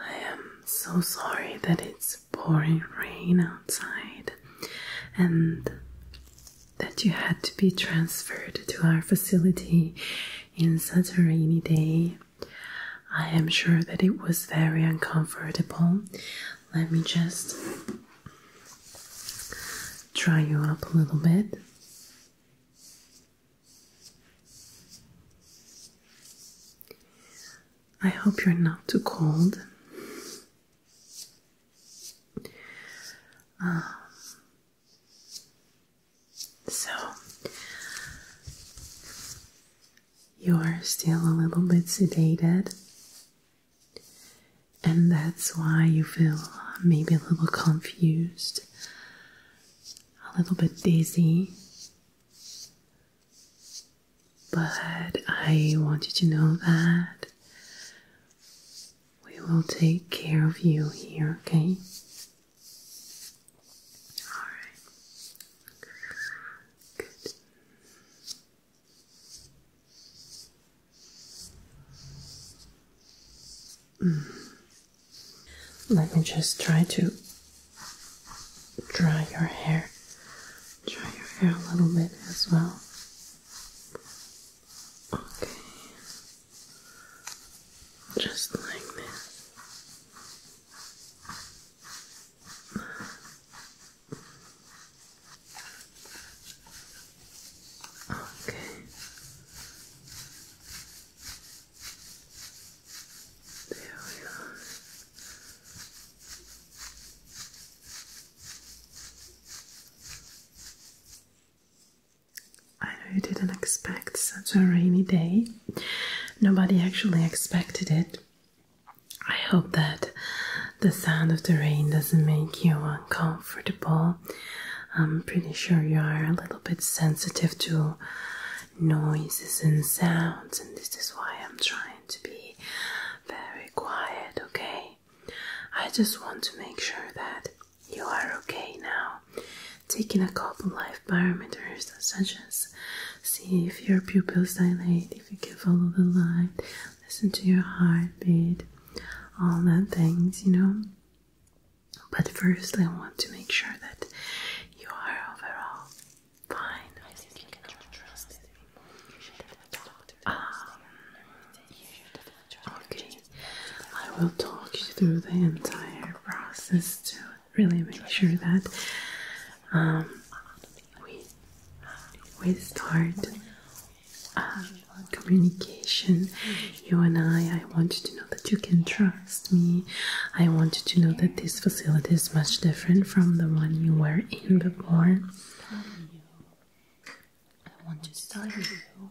I am so sorry that it's pouring rain outside and that you had to be transferred to our facility in such a rainy day. I am sure that it was very uncomfortable. Let me just dry you up a little bit. I hope you're not too cold. Um, so, you're still a little bit sedated and that's why you feel maybe a little confused, a little bit dizzy. But I want you to know that we will take care of you here, okay? Alright. Good. Let me just try to dry your hair. Dry your hair a little bit as well. Okay. Just like this. Okay. There we are. I know you didn't expect such a rainy day. Nobody actually expected it. I hope that the sound of the rain doesn't make you uncomfortable I'm pretty sure you are a little bit sensitive to noises and sounds, and this is why I'm trying to be very quiet, okay? I just want to make sure that you are okay now. Taking a couple of life parameters such as see if your pupils dilate, if you can follow the light, listen to your heartbeat, all that things, you know. But first, I want to make sure that you are overall fine. I um, Okay, I will talk you through the entire process to really make sure that um, we we start um, communication. You and I, I want you to know that you can trust me. I want you to know that this facility is much different from the one you were in before. I want to study you.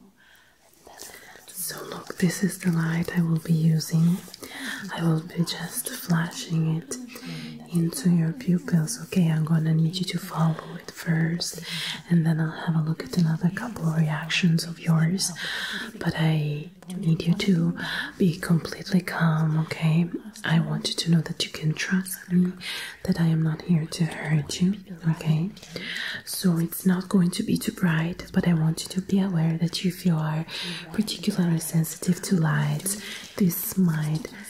So look, this is the light I will be using. I will be just flashing it into your pupils. Okay, I'm gonna need you to follow first, and then I'll have a look at another couple of reactions of yours. But I need you to be completely calm, okay? I want you to know that you can trust me, that I am not here to hurt you, okay? So it's not going to be too bright, but I want you to be aware that if you are particularly sensitive to lights, this might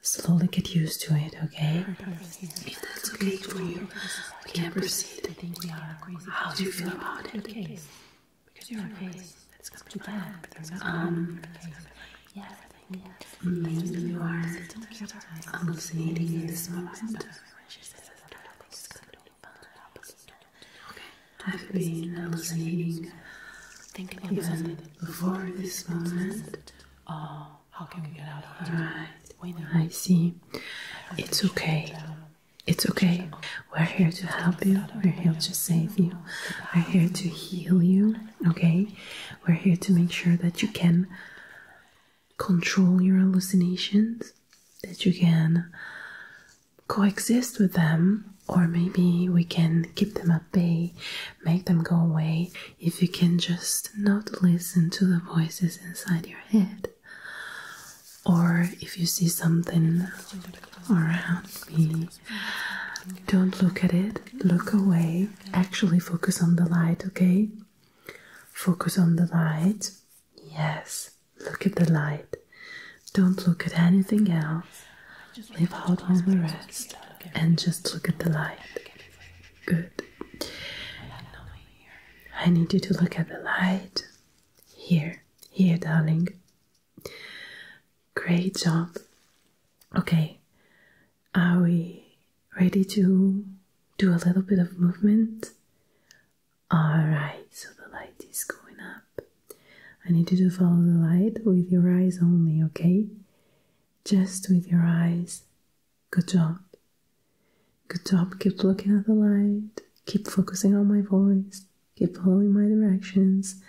slowly get used to it, okay? If that's okay for you, we can proceed. How do you feel about it? Because you're okay. It's coming too bad. Um, yes, maybe mm, you are hallucinating in this moment. I've been Thinking about it before this moment. Oh, how can we get out of here? Right. I see. It's okay. It's okay. We're here to help you. We're here to save you. We're here to heal you. Okay? We're here to make sure that you can control your hallucinations, that you can coexist with them, or maybe we can keep them at bay make them go away if you can just not listen to the voices inside your head. Or if you see something around me, don't look at it, look away. Actually, focus on the light, okay? Focus on the light. Yes, look at the light. Don't look at anything else. Leave out all the rest and just look at the light. Good. I need you to look at the light. Here, here, darling. Great job. Okay, are we ready to do a little bit of movement? Alright, so the light is going up. I need you to follow the light with your eyes only, okay? just with your eyes. Good job. Good job. Keep looking at the light, keep focusing on my voice, keep following my directions,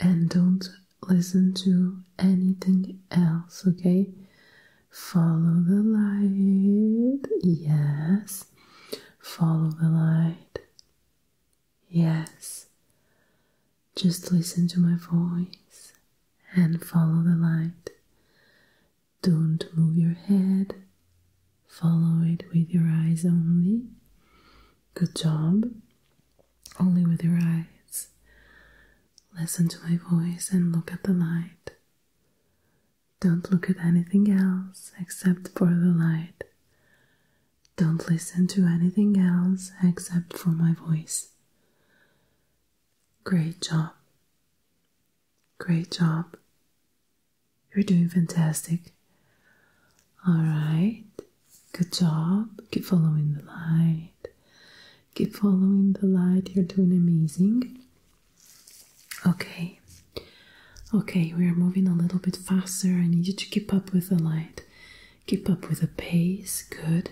and don't listen to anything else, okay? Follow the light. Yes. Follow the light. Yes, just listen to my voice and follow the light. Don't move your head, follow it with your eyes only. Good job, only with your eyes. Listen to my voice and look at the light. Don't look at anything else except for the light. Don't listen to anything else except for my voice. Great job. Great job. You're doing fantastic. Alright, good job. Keep following the light. Keep following the light. You're doing amazing. Okay, okay, we are moving a little bit faster. I need you to keep up with the light. Keep up with the pace. Good.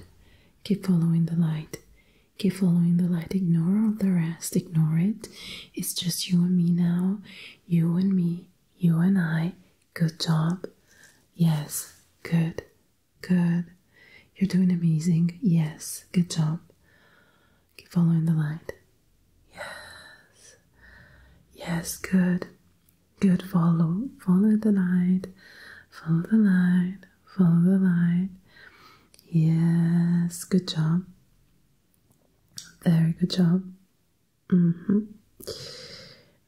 Keep following the light. Keep following the light. Ignore all the rest. Ignore it. It's just you and me now. You and me. You and I. Good job. Yes. Good. Good. You're doing amazing. Yes. Good job. Keep following the light. Yes. Yes. Good. Good, follow, follow the light, follow the light, follow the light. Yes, good job. Very good job. hmm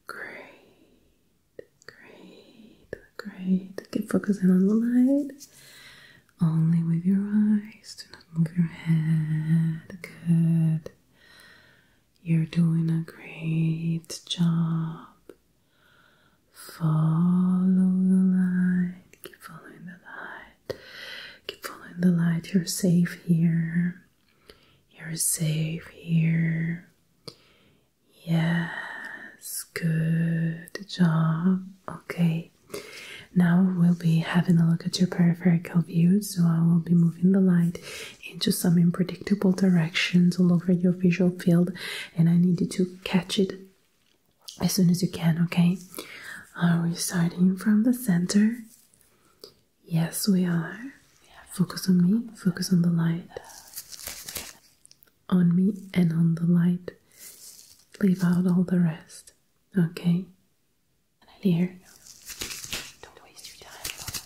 Great, great, great. Keep focusing on the light. Only with your eyes. Do not move your head. Good. You're doing a great job. Follow the light. Keep following the light. Keep following the light. You're safe here. You're safe here. Yes, good job. Okay, now we'll be having a look at your peripheral view. So I will be moving the light into some unpredictable directions all over your visual field, and I need you to catch it as soon as you can, okay? Are we starting from the center? Yes, we are. Focus on me, focus on the light. On me and on the light. Leave out all the rest, okay? And I leave here. Don't waste your time.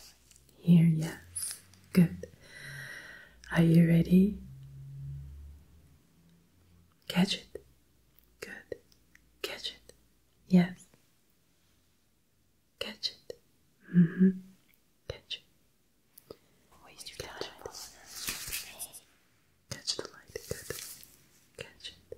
Here, yes. Good. Are you ready? Catch it. Good. Catch it. Yes. Catch it. Mm-hmm. Catch it. Waste your time. Catch the light. Good. Catch it.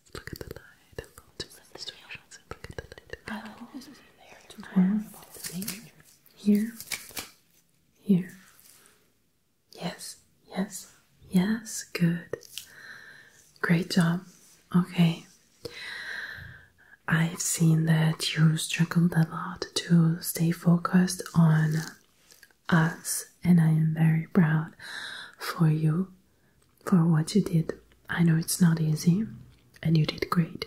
just do some instructions and look at the light. Oh, this is there. Here. Here. Yes, yes, yes, good. Great job. Okay. I've seen that you struggled a lot to stay focused on us, and I am very proud for you for what you did. I know it's not easy, and you did great.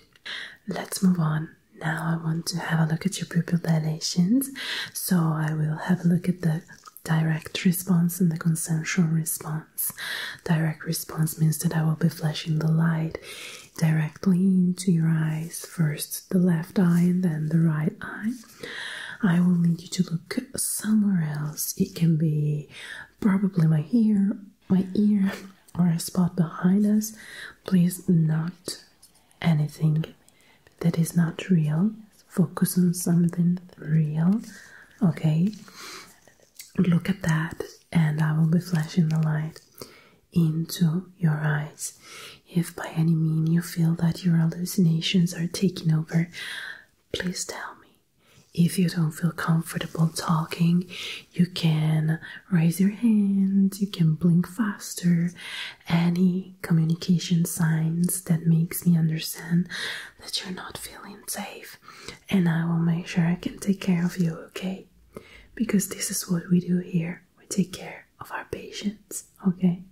Let's move on. Now I want to have a look at your pupil dilations. So I will have a look at the direct response and the consensual response. Direct response means that I will be flashing the light directly into your eyes, first the left eye and then the right eye. I will need you to look somewhere else. It can be probably my ear, my ear, or a spot behind us. Please, not anything that is not real. Focus on something real, okay? Look at that, and I will be flashing the light into your eyes. If by any mean you feel that your hallucinations are taking over, please tell me. If you don't feel comfortable talking, you can raise your hand, you can blink faster. Any communication signs that makes me understand that you're not feeling safe, and I will make sure I can take care of you, okay? Because this is what we do here. We take care of our patients. Okay.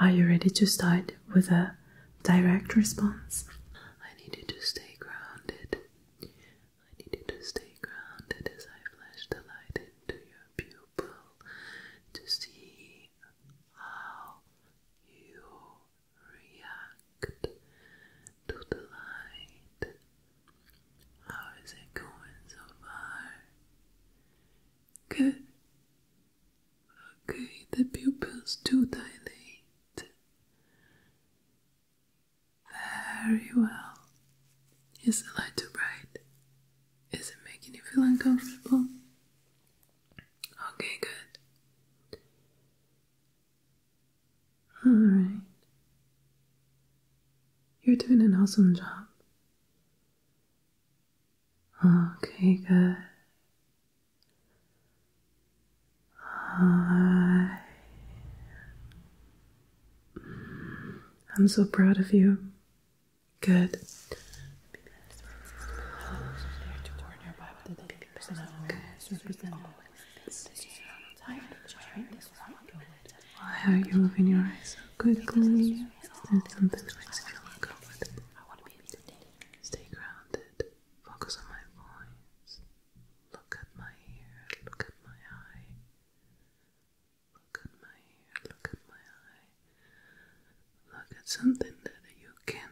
Are you ready to start with a direct response? I need you to stay grounded. I need you to stay grounded as I flash the light into your pupil to see how you react to the light. How is it going so far? Good. Okay, the pupils do dilate. Very well. Is the light too bright? Is it making you feel uncomfortable? Okay, good. Alright. You're doing an awesome job. Okay, good. I'm so proud of you. Good. Why are you moving your eyes so quickly? Is something that to be today. Stay grounded. Focus on my voice. Look at my ear. Look at my eye. Look at my ear. Look at my eye. Look at something that you can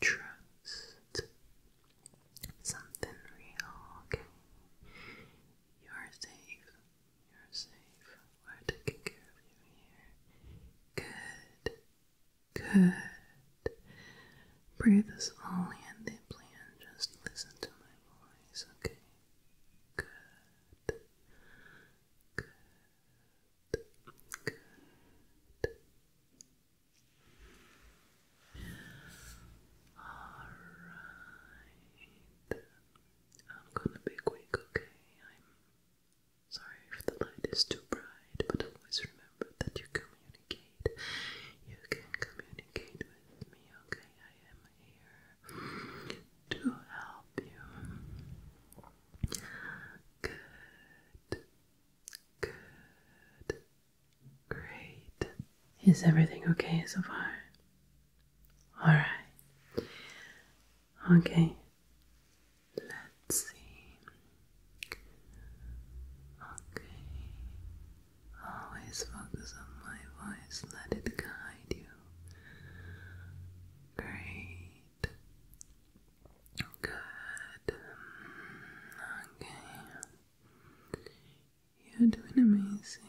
trust. Something real, okay? You're safe. You're safe. We're taking care of you here. Good. Good. Breathe slowly and deeply and just listen to my voice, okay? Good. Good. Good. All right. I'm gonna be quick, okay? I'm sorry if the light is too bright, but always remember that you communicate. You can communicate with me, okay? I am here to help you. Good. Good. Great. Is everything okay so far? All right. Okay. Let's see. Okay. Always focus on my voice. Let it guide you. Great. Good. Okay. You're doing amazing.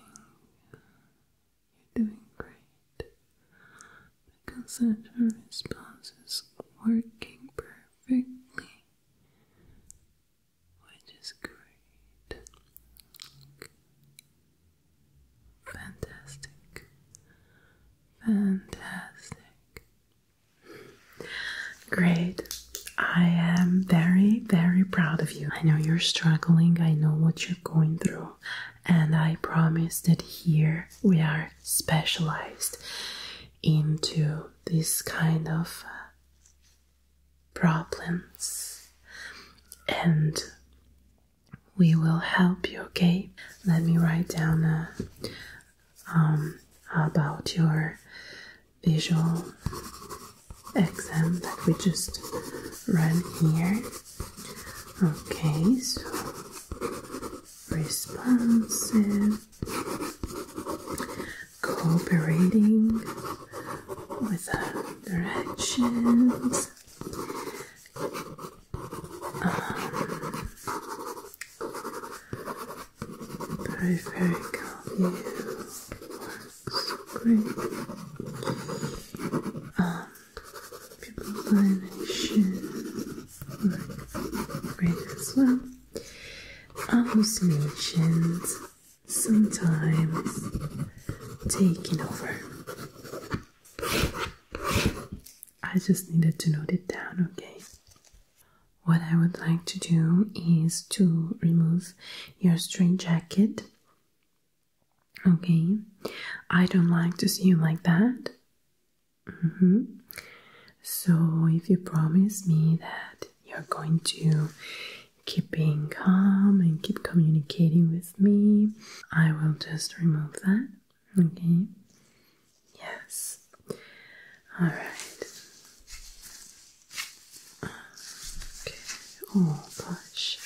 You're doing great. The concentric response is working perfectly, which is great. Fantastic. Fantastic. Great. I am very, very proud of you. I know you're struggling. I know what you're going through and I promise that here we are specialized into this kind of uh, problems and we will help you okay let me write down uh, um, about your visual exam that we just run here Okay, so responsive, cooperating with other actions. Um, view works great. Um, People Combination work great as well. Hallucinations sometimes taking over. I just needed to note it down, okay? What I would like to do is to remove your straitjacket Okay, I don't like to see you like that. Mm-hmm. So, if you promise me that you're going to keep being calm and keep communicating with me, I will just remove that. Okay, yes, all right. Okay. Oh gosh,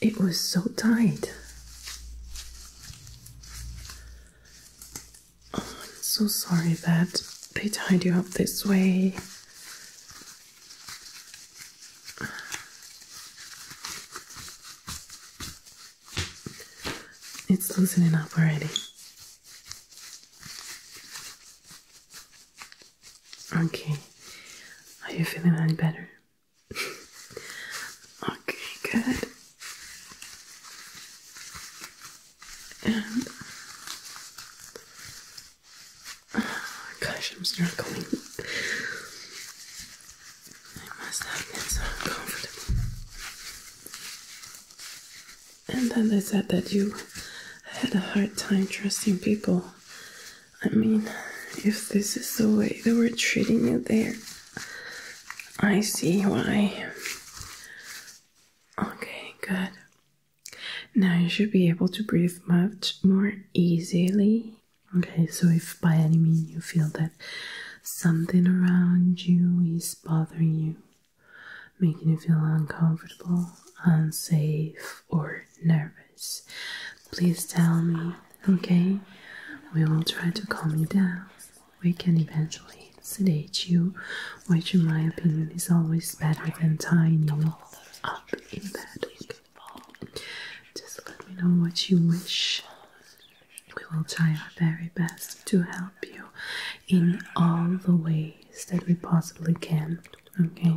it was so tight. Oh, I'm so sorry that they tied you up this way. It's loosening up already. Okay. Are you feeling any better? okay, good. Oh, gosh, I'm struggling. I must have been so uncomfortable. And then they said that you had a hard time trusting people I mean, if this is the way they were treating you there, I see why. Okay, good. Now you should be able to breathe much more easily. Okay, so if by any means you feel that something around you is bothering you, making you feel uncomfortable, unsafe, or nervous, Please tell me, okay? We will try to calm you down. We can eventually sedate you, which, in my opinion, is always better than tying you up in bed. Just let me know what you wish. We will try our very best to help you in all the ways that we possibly can. Okay?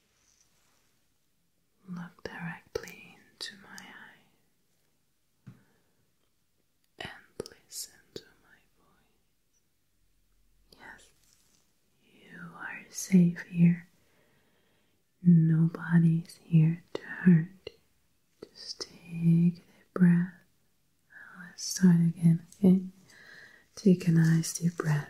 Look directly into my eyes and listen to my voice. Yes, you are safe here. Nobody's here to hurt you. Just take a deep breath. Let's start again, okay? Take a nice deep breath.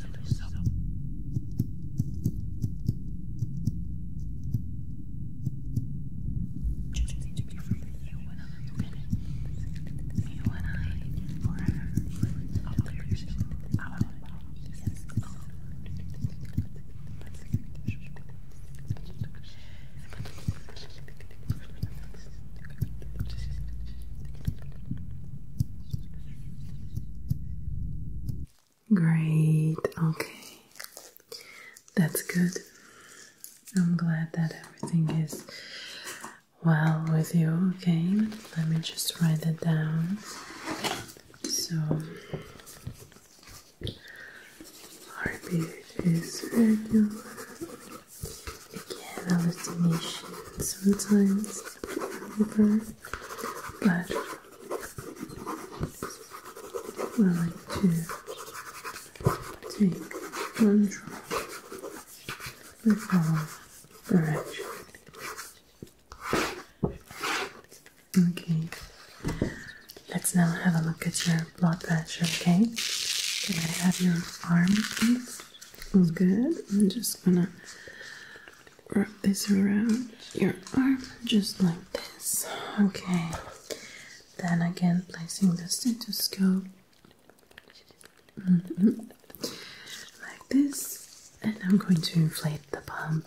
Choosing to be free with you and I. You and I forever. I'll clear yourself out of Yes. Oh. Great, okay. That's good. I'm glad that everything is well with you. Okay, let me just write that down. So, our is regular. Again, hallucination sometimes over, but I like to take control with all direction. Okay, let's now have a look at your blood pressure, okay? Can I have your arm, please? All good. I'm just gonna wrap this around your arm just like this. Okay. Then again, placing the stethoscope mm like this, and I'm going to inflate the pump.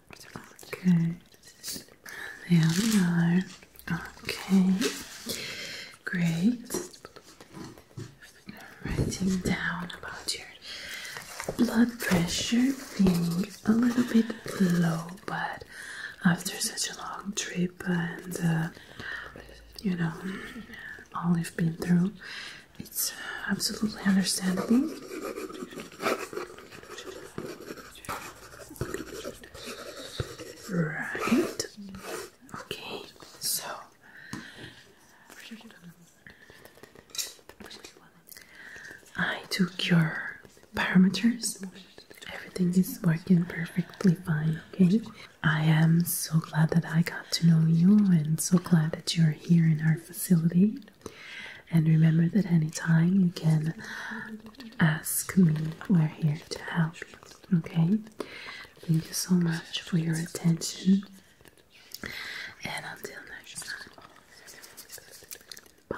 Okay. There we are. Okay. Great. Writing down about your blood pressure being a little bit low, but after such a long trip and uh, you know all we've been through, it's absolutely understandable. Right. Okay, so I took your parameters. Everything is working perfectly fine, okay? I am so glad that I got to know you and so glad that you're here in our facility. And remember that anytime you can ask me, we're here to help. Okay? Thank you so much for your attention. And until next time, bye.